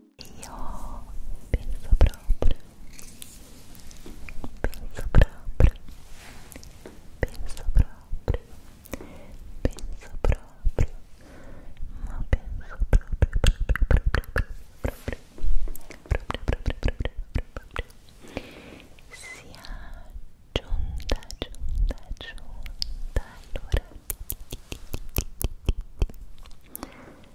Io penso proprio, penso proprio, penso proprio, penso proprio, ma penso proprio, proprio, proprio, proprio, proprio, proprio, proprio, proprio, sia giunta, giunta, giunta, allora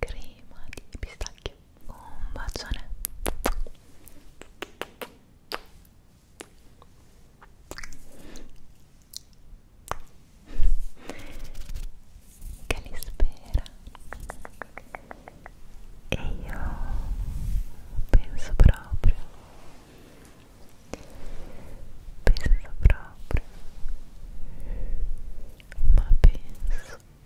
crema di pistacchio. Un bacione. Che li spera. E io penso proprio, penso proprio, ma penso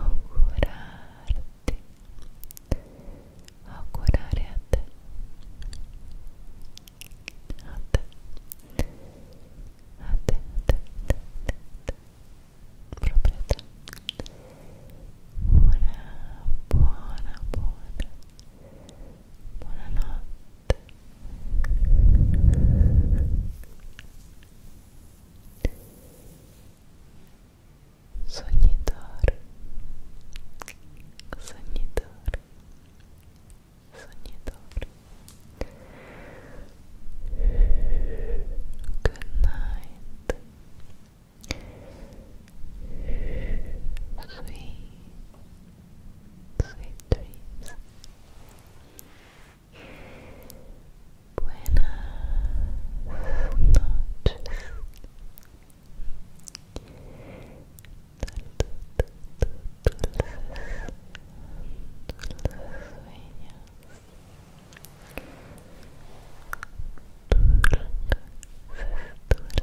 augurarti augurare a te a te a te a te, a te, a te, a te. proprio a te una buona buona buonanotte Sonidor, sonidor, sonidor. Good night, sweet, Buenas noches. Dulces, dulces sueños. dulces sueños.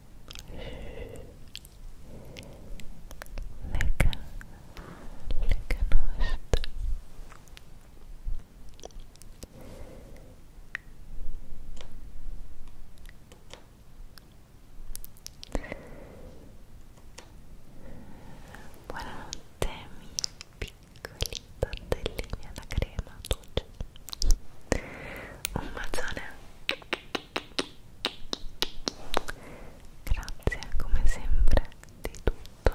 le canaste Buonanotte miei piccoli tortellini alla crema dolce Un bacione Grazie come sempre di tutto.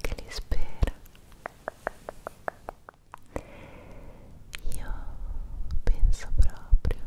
Che li spera. Io penso proprio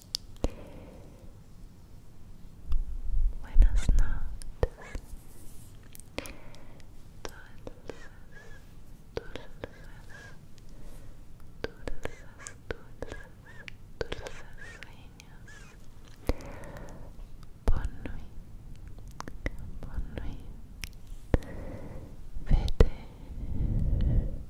Buenas noches. Dulces, dulces, dulces, dulces, sueños. Vete.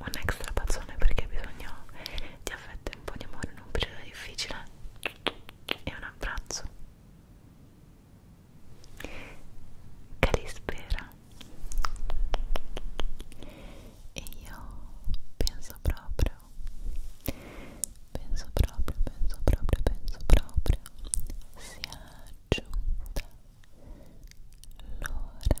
un extra tazzone perché ha bisogno di affetto e un po' di amore in un periodo difficile e un abbraczo che li spera e io penso proprio penso proprio penso proprio penso proprio sia giunta l'ora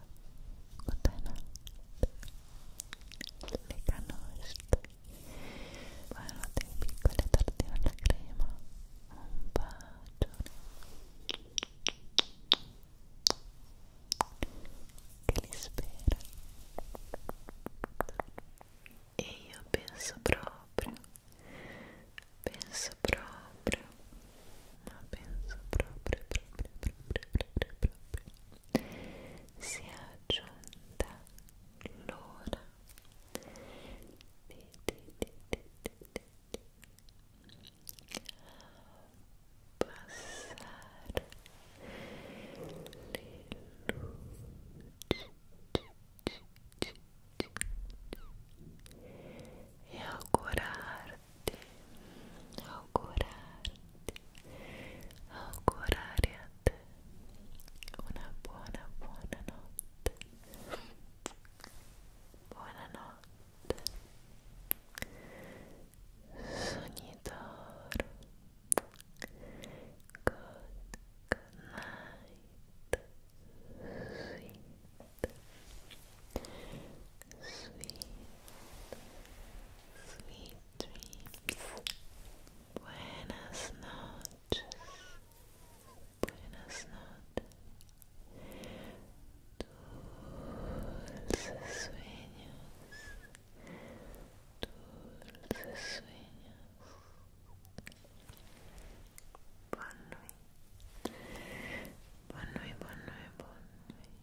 Buonanotte Le canoste Buonanotte in piccole tartine alla crema Un bacio Che li spera e io penso proprio, penso proprio, ma penso proprio, proprio, proprio, proprio, proprio si è giunta l'ora di, di, di, di, di, di passare le luci e augurarti augurarti, augurare a te una buona, buona notte. Buonanotte. Sognitoro. Good, good night. Sweet, sweet sweet dreams. Buenas noches. Buenas noches. Dulces sueños. Dulces sueños. Bonne nuit. Bonne nuit, bonne nuit, bonne nuit.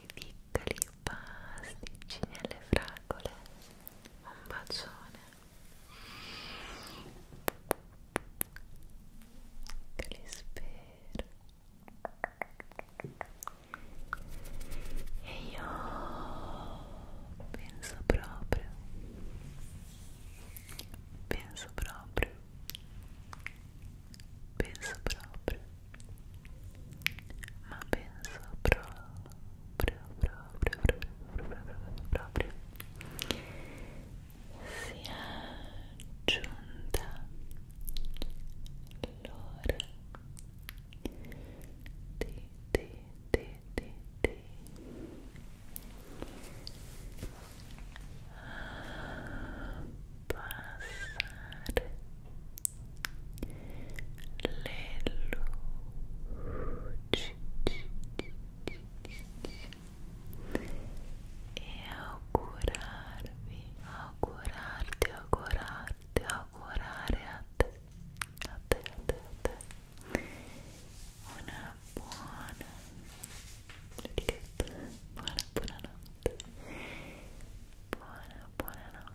dei piccoli pasticcini alle fragole un bacione che li spero e io penso proprio penso proprio penso proprio ma penso proprio proprio proprio proprio proprio, proprio sia giunta l'ora di di di di di ah, pasar leluci e augurarvi augurarti augurarti augurare a te a te a te una buona buona buona buonanotte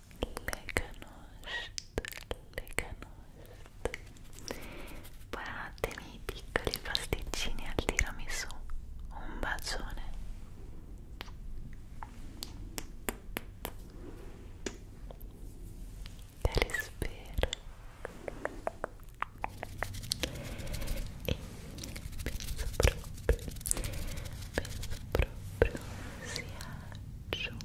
le canosce buonanotte miei piccoli pasticcini al tiramisù un bacione te li spero e penso proprio penso proprio sia giunto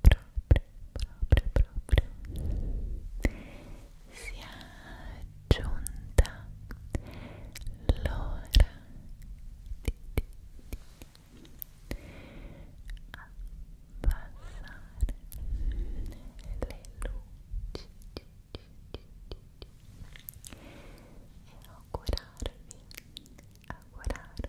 proprio, proprio, proprio sia giunta l'ora di, di, di abbassare le luci e augurarvi, augurarvi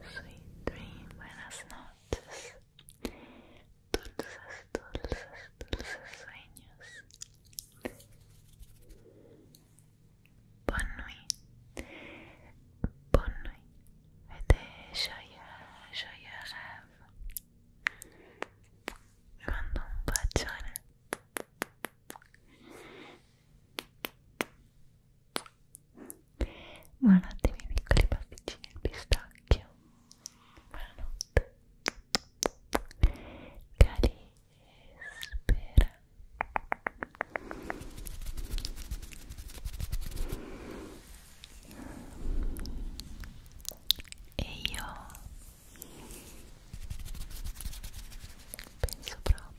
Sweet dream, buenas noches. Dulces, dulces, dulces sueños. Bonne nuit. Bonne nuit. Et joyeux, joyeux rêves. Je mando Buonanotte miei piccoli pasticcini al pistacchio. Buonanotte. Cari spera. E io penso proprio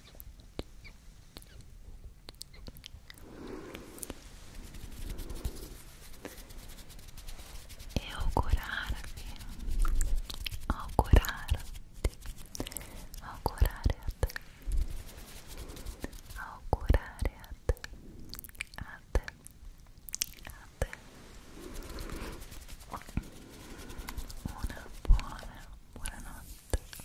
e augurarvi augurarti augurare a te augurare a te a te a te una buona buonanotte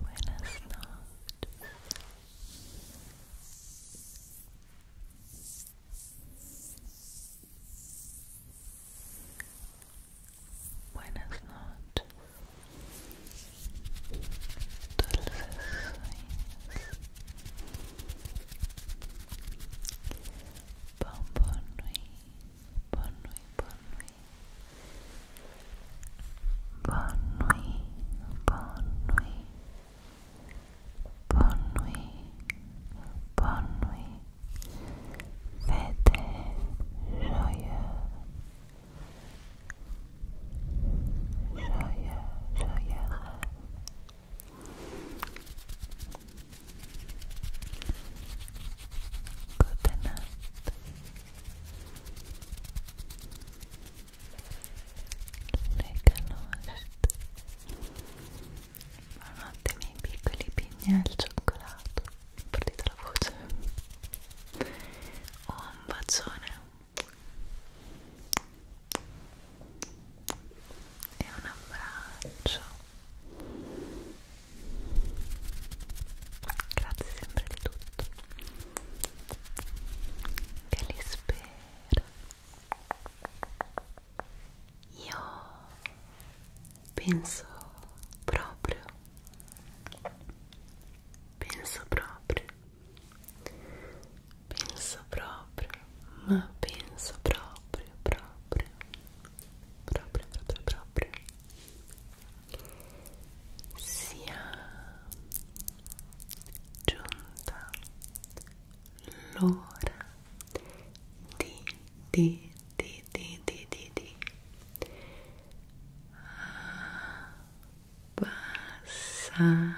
Buenas noches. Buenas noches. Dulces sueños. Bon, bon nuit. Bon Bonne nuit, bonne nuit, bonne nuit, bonne nuit. Faites joyeux, joyeux, joyeux Good night. le canoste buonanotte i miei piccoli pigni al cioccolato partita la voce oh un bacione e un abbraccio grazie sempre di tutto che li spera. Io penso proprio, penso proprio, penso proprio, ma penso proprio, proprio, proprio, proprio, proprio sia giunta l'ora di, di, di, di, di, di, di abbassare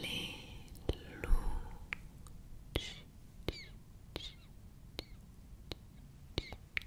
le luci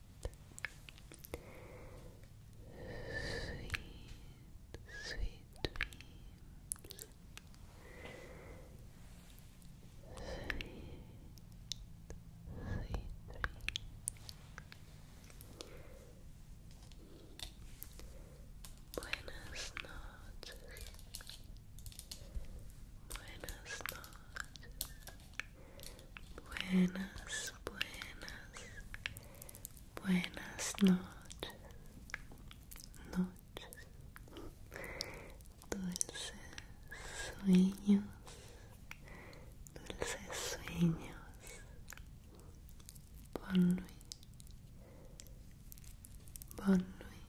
Sweet, sweet dreams. Sweet, sweet dreams. Buenas noches. Buenas noches. Buenas, buenas, buenas noches, noches, dulces sueños, dulces sueños, bonne nuit, bonne nuit,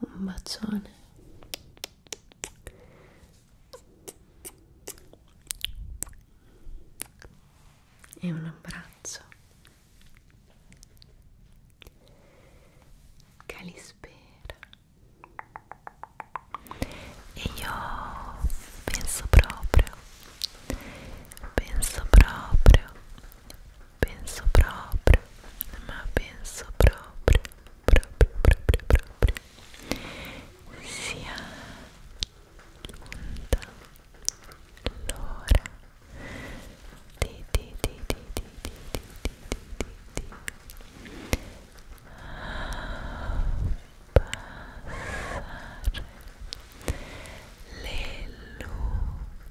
un bacione e un abbraccio calispera e io penso proprio penso proprio penso proprio, ma penso proprio, proprio, proprio, proprio sia giunta l'ora di, di, di, di, di, di, di, di, di, di passare le luci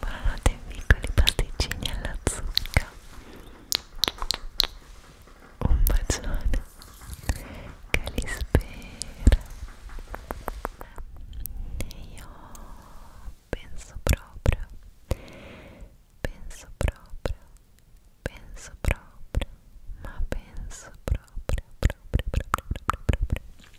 Buonanotte piccoli pasticcini alla zucca Un bacione che li spera E io penso proprio Penso proprio Penso proprio Ma penso proprio Proprio proprio proprio proprio, proprio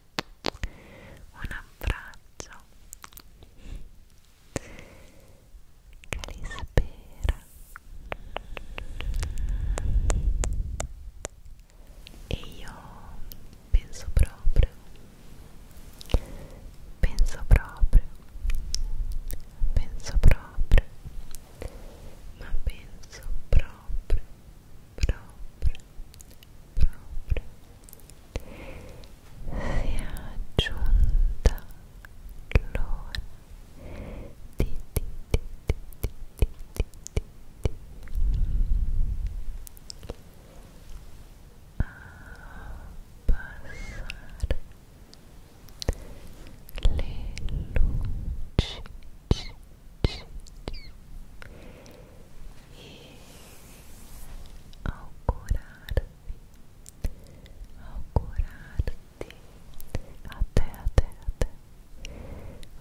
un abbraccio che li spera e io penso proprio penso proprio penso proprio ma penso proprio proprio proprio giunta l'ora di, di, di, di, di, di, di, di. abbassare le luci c, c, c. ao curar-te, ao curar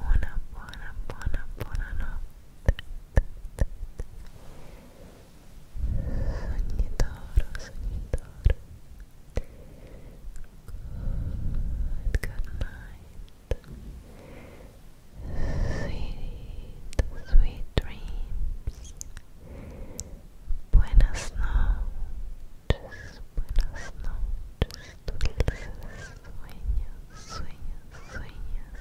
buona, buona, buona notte, sognitoro, sognitoro, good, good night, Sweet, sweet dreams. Buenas noches, buenas noches, dulces sueños, sueños, sueños.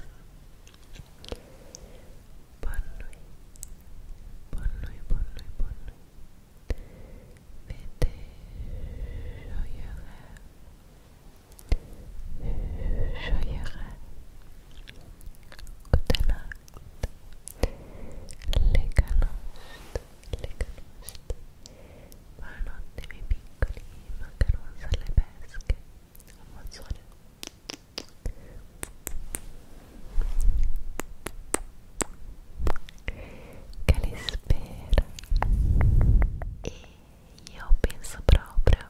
Bonui, bonui, bonui, bonui. Vete, yo llegué. Yo llegué. Buonanotte miei piccoli macarons alle pesche Un mozzone Che li spera E io penso proprio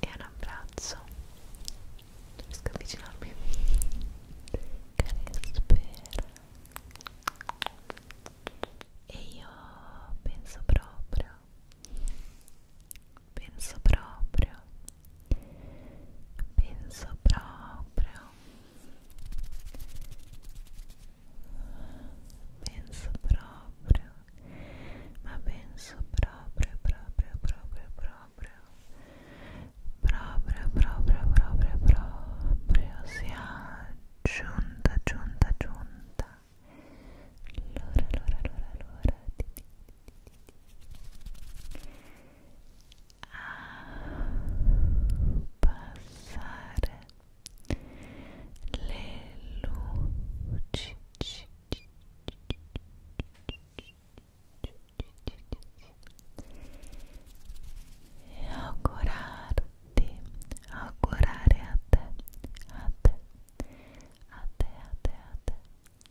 e un abbraccio riesco a avvicinarmi care spera e io penso proprio penso proprio penso proprio penso proprio ma penso proprio proprio proprio proprio proprio proprio proprio proprio sia giunta giunta giunta l'ora l'ora l'ora l'ora abbassare le luci e augurarti, augurare a te, a te, a te, a te, a te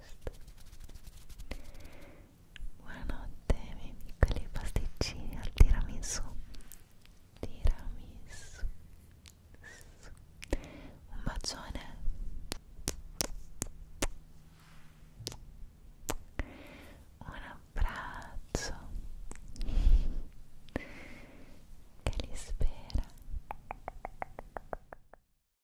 posto buonanotte miei piccoli pasticcini al tiramisù tiramisù un bacione un abbraccio che li spera